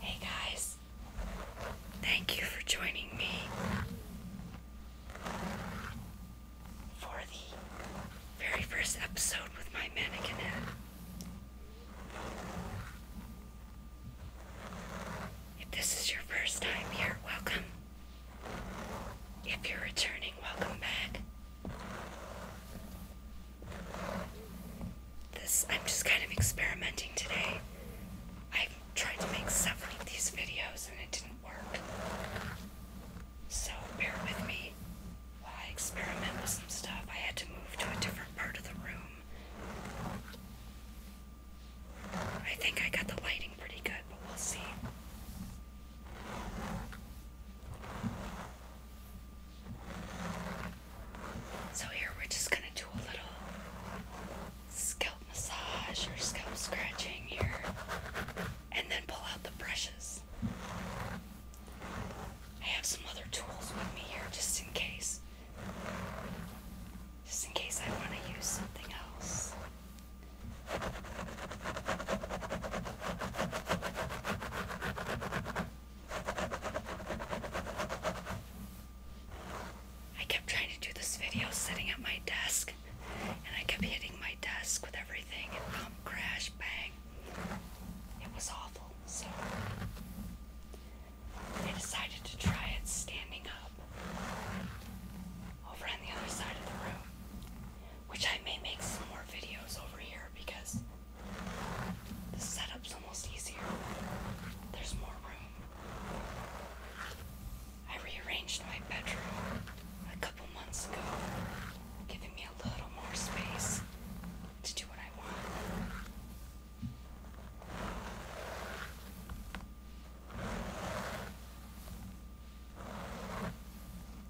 Hey guys, thank you for joining me for the very first episode with my mannequin head. If this is your first time here, welcome. If you're returning, welcome back. This, I'm just kind of experimenting today. I tried to make several of these videos and it didn't work. So bear with me while I experiment with some stuff. I had to move to a different part of the room. I think I got the lighting pretty good, but we'll see. So here we're just gonna do a little scalp massage or scalp scratching here and then pull out the brushes. I have some other tools with me here just in case. Just in case I want to use something else. I kept trying to do this video sitting at my desk, and I kept hitting my desk with everything and bump, crash, bang. It was awful, so I decided to try it standing up over on the other side of the room, which I may make some more videos over here because the setup's almost easier. There's more room. I rearranged my bedroom a couple months ago, giving me a little more space to do what I want.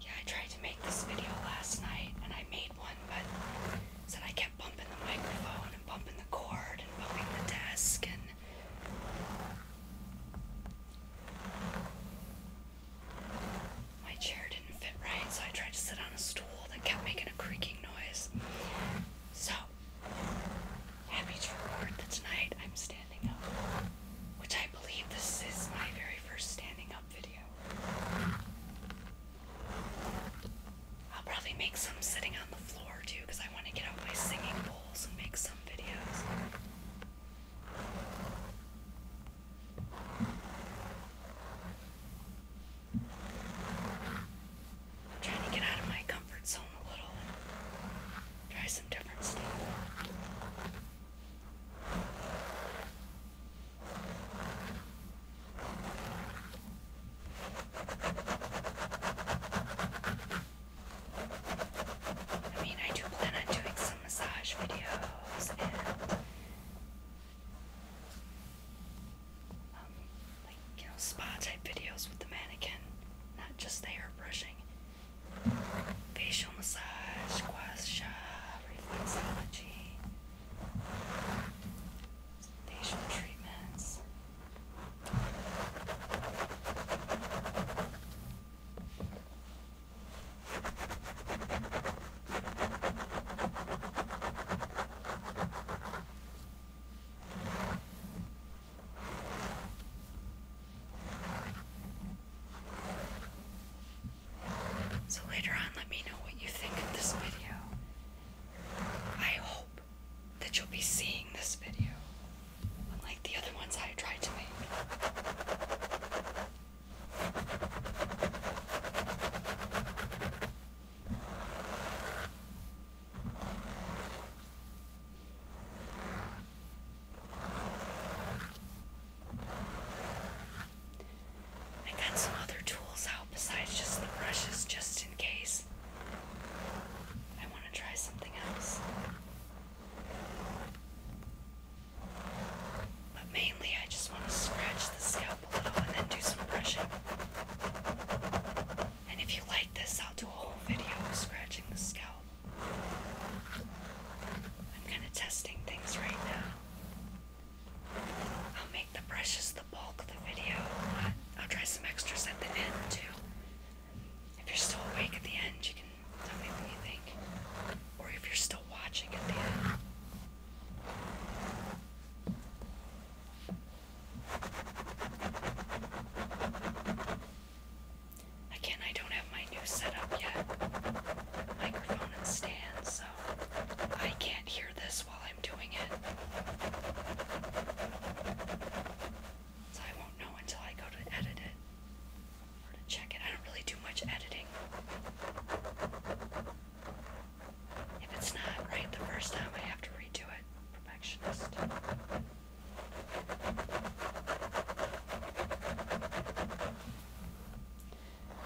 Yeah, I tried to make this video last night and I made one, but said I kept bumping the microphone and bumping the cord and bumping the desk and my chair didn't fit right, so I tried to sit on a stool that kept making a creaking noise. So happy to report that tonight I'm standing up, which I believe this is my very first standing up. I'll probably make some sitting on the floor too because I want to get out my singing bowls and make some videos. trying to get out of my comfort zone a little and try some different stuff. I mean, I do plan on doing some massage videos and um, like you know spa type videos with the mannequin, not just hair brushing, facial massage, squash shot reflexology, facial treatments. So later on, let me know what you think of this video. I hope that you'll be seeing this video, unlike the other ones I tried to make. I got some other tools out besides just the brushes, just in case. I want to try something else. But mainly, I just want to scratch the scalp a little and then do some brushing. And if you like this, I'll do a whole video of scratching the scalp. I'm kind of testing things right now. I'll make the brushes the bulk of the video. I'll try some extras at the end too. If you're still awake at the end, you can tell me what you think. Or if you're still watching at the end. Again, I don't my new setup yet. Microphone and stand, so I can't hear this while I'm doing it. So I won't know until I go to edit it or to check it. I don't really do much editing. If it's not right the first time, I have to redo it. Perfectionist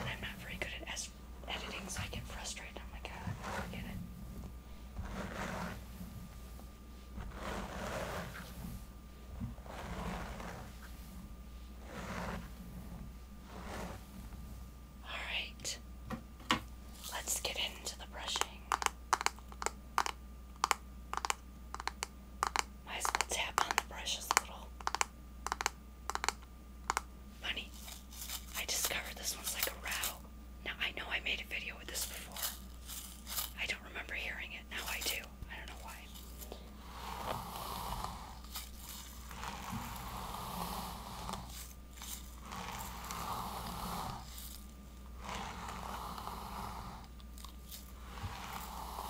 and I'm not very good at editing, so I get frustrated. I'm like, ah, forget it. All right, let's get into the brushing. Might as well tap on the brushes a little. Funny, I discovered this one's like a rattle. Now I know I made a video with this before. I don't remember hearing it. Now I do. I don't know why.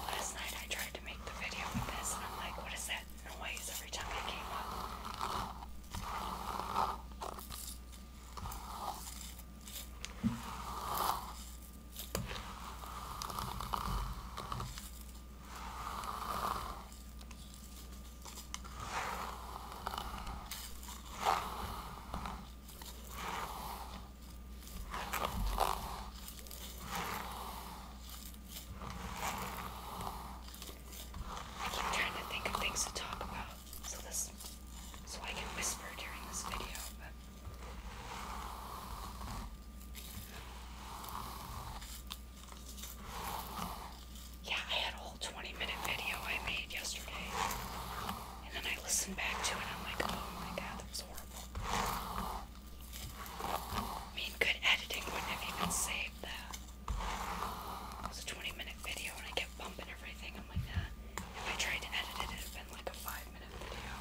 Last night I tried to make the video with this, and I'm like, what is that noise every time I came up? I keep trying to think of things to talk about, so this, so I can whisper during this video. But yeah, I had a whole 20-minute video I made yesterday, and then I listened back to it, and I'm like, oh my god, that was horrible. I mean, good editing wouldn't have even saved that. It a 20 minute video and I kept bumping everything. I'm like, nah. If I tried to edit it, it'd been like a five minute video.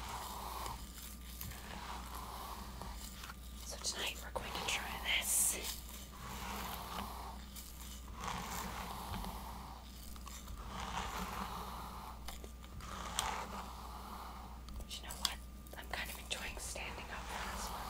So tonight we're going to try this. You know what? I'm kind of enjoying standing up for this one.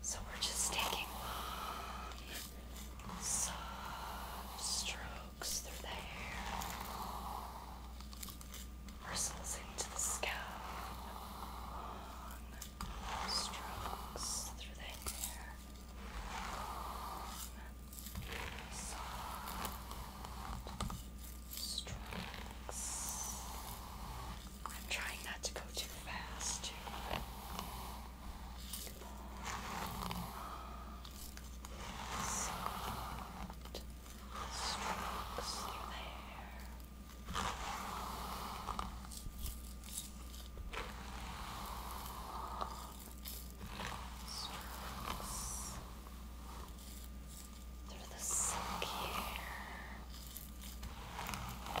So we're just taking long, soft strokes through the hair, bristles into the scalp, long strokes through the hair strokes. I'm trying not to go too fast. Too. Soft Strokes through the silky hair. Through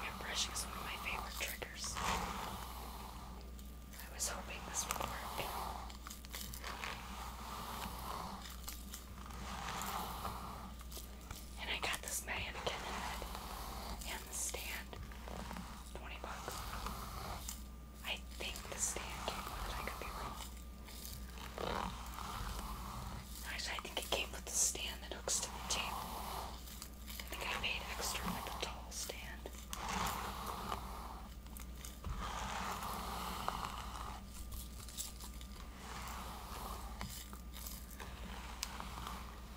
Hair brushing is one of my favorite triggers. I was hoping this would work. And I got this mannequin head and the stand. 20 bucks. I think the stand came with it, I could be wrong. Actually, I think it came with the stand that hooks to the table. I think I paid extra for the tall stand.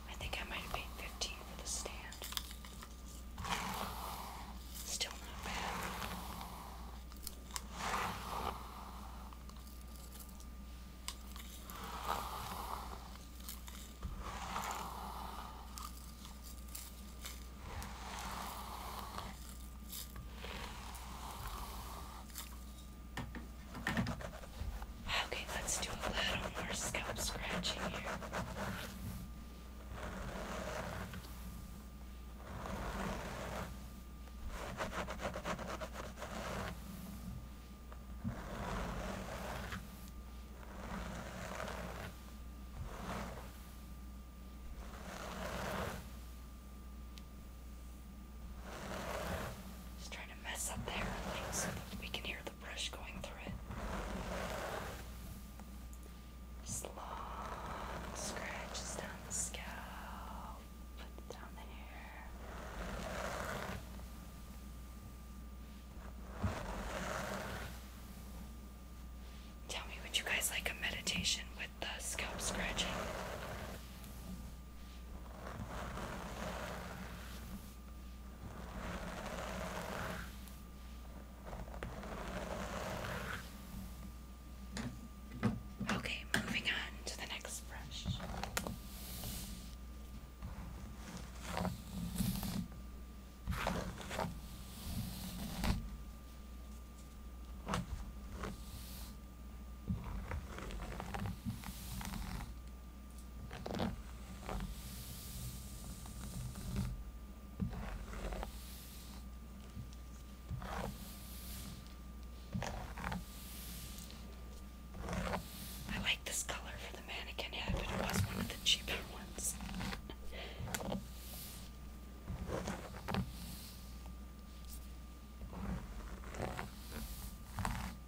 I think I might have paid 15 for the stand. Still not bad. Okay, let's do a little more scalp scratching here. Just trying to mess up the hair so we can hear brush going through it. long scratches down the scalp, down the hair. Tell me, would you guys like a meditation with the scalp scratching? Okay, moving on to the next brush. I like this color for the mannequin head, but it was one of the cheaper ones.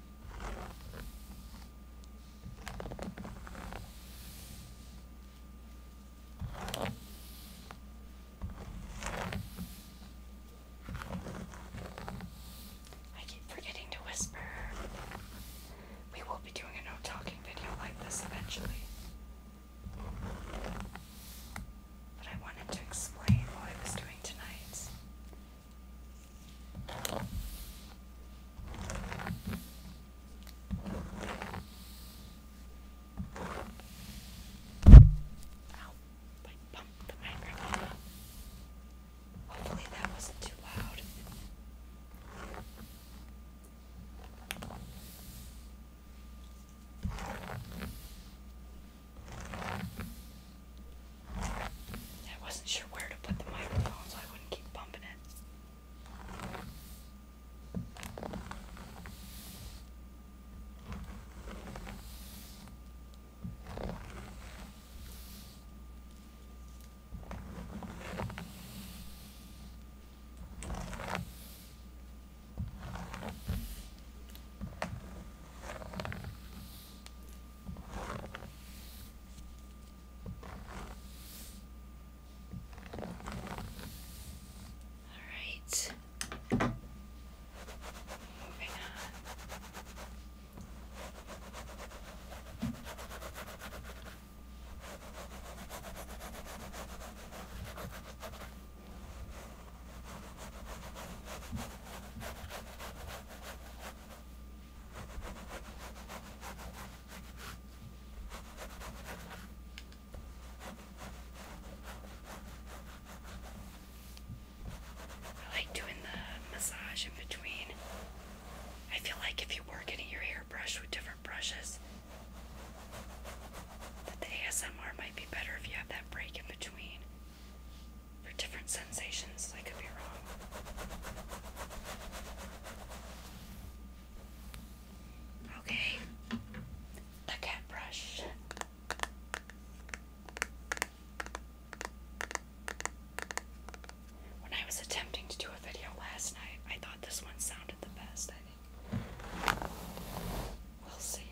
I keep forgetting to whisper. We will be doing a no talking video like this eventually. But I wanted to explain what I was doing tonight. Ow, I bumped the microphone up. Hopefully that wasn't too loud. I wasn't sure where to put the microphone so I wouldn't keep bumping it. All right. Moving on. I like doing the massage in between. I feel like if you were getting your hair brushed with different brushes, that the ASMR might be better if you have that break in between for different sensations. I could be wrong. Okay, the cat brush. When I was attempting to do a video last night, I thought this one sounded the best, I think. We'll see.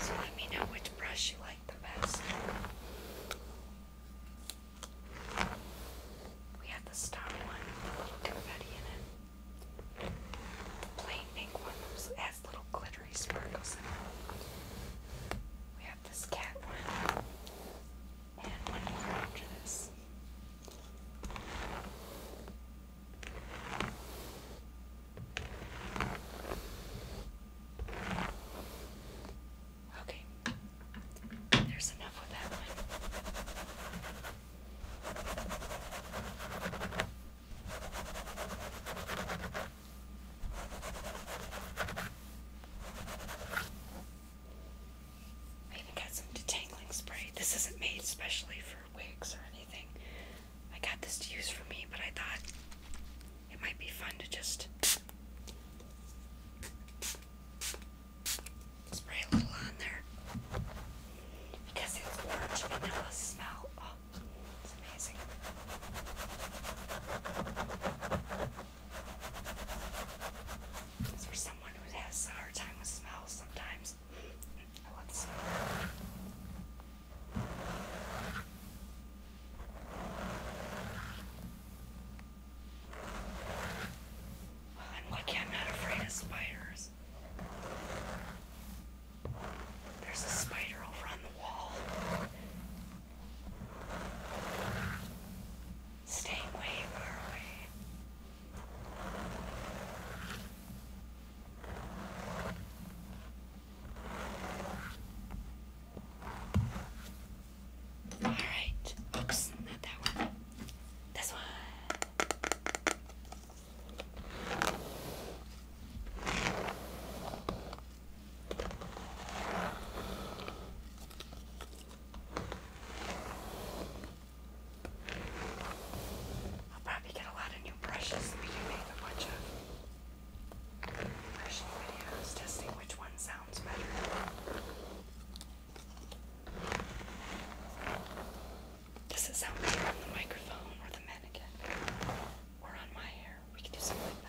So let me know which brush you like the best. We have the star one with a little confetti in it. The plain pink one has little glittery sparkles in it. We grab this cat one Okay, there's enough with that one. I even got some detangling spray. This isn't made especially for wigs or anything. I got this to use for me, but I thought it might be fun to just spray a little on there because it's orange vanilla smell. Oh, is amazing. someone who has a hard time with smells sometimes, I love the smell. Well, I'm lucky I'm not afraid of spiders. There's a spider over on the wall. Stay way far away. All right. Oops, not that one. This one. I'll probably get a lot of new brushes we can make a bunch testing which one sounds better. Does it sound better on the microphone or the mannequin? Or on my hair? there. We can do something like that.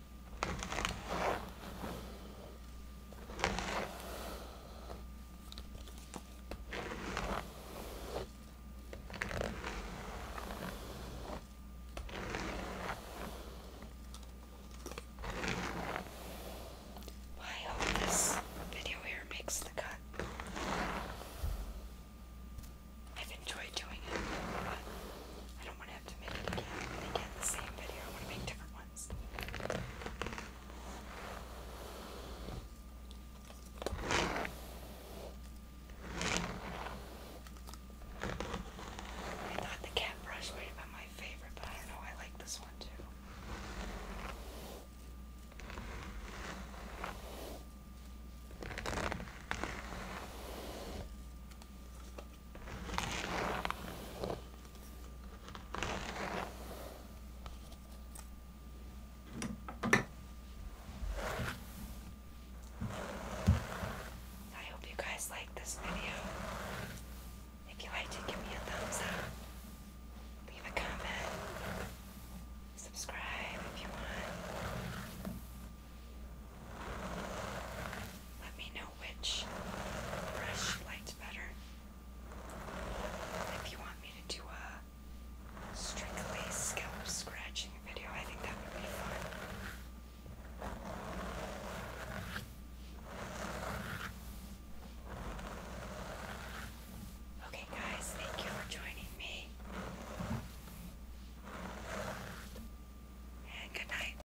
I hope this video here makes the cut. I've enjoyed doing it, but I don't want to have to make it again again the same video. I want to make different ones. I thought the cat brush was my favorite, but I don't know, I like this one too. I hope you guys like this video. If you liked it, give me a thumbs up. Leave a comment. Subscribe if you want. Let me know which brush you better. If you want me to do a strictly scalp scratching video, I think that would be fun. Okay, guys, thank you for joining me. And good night.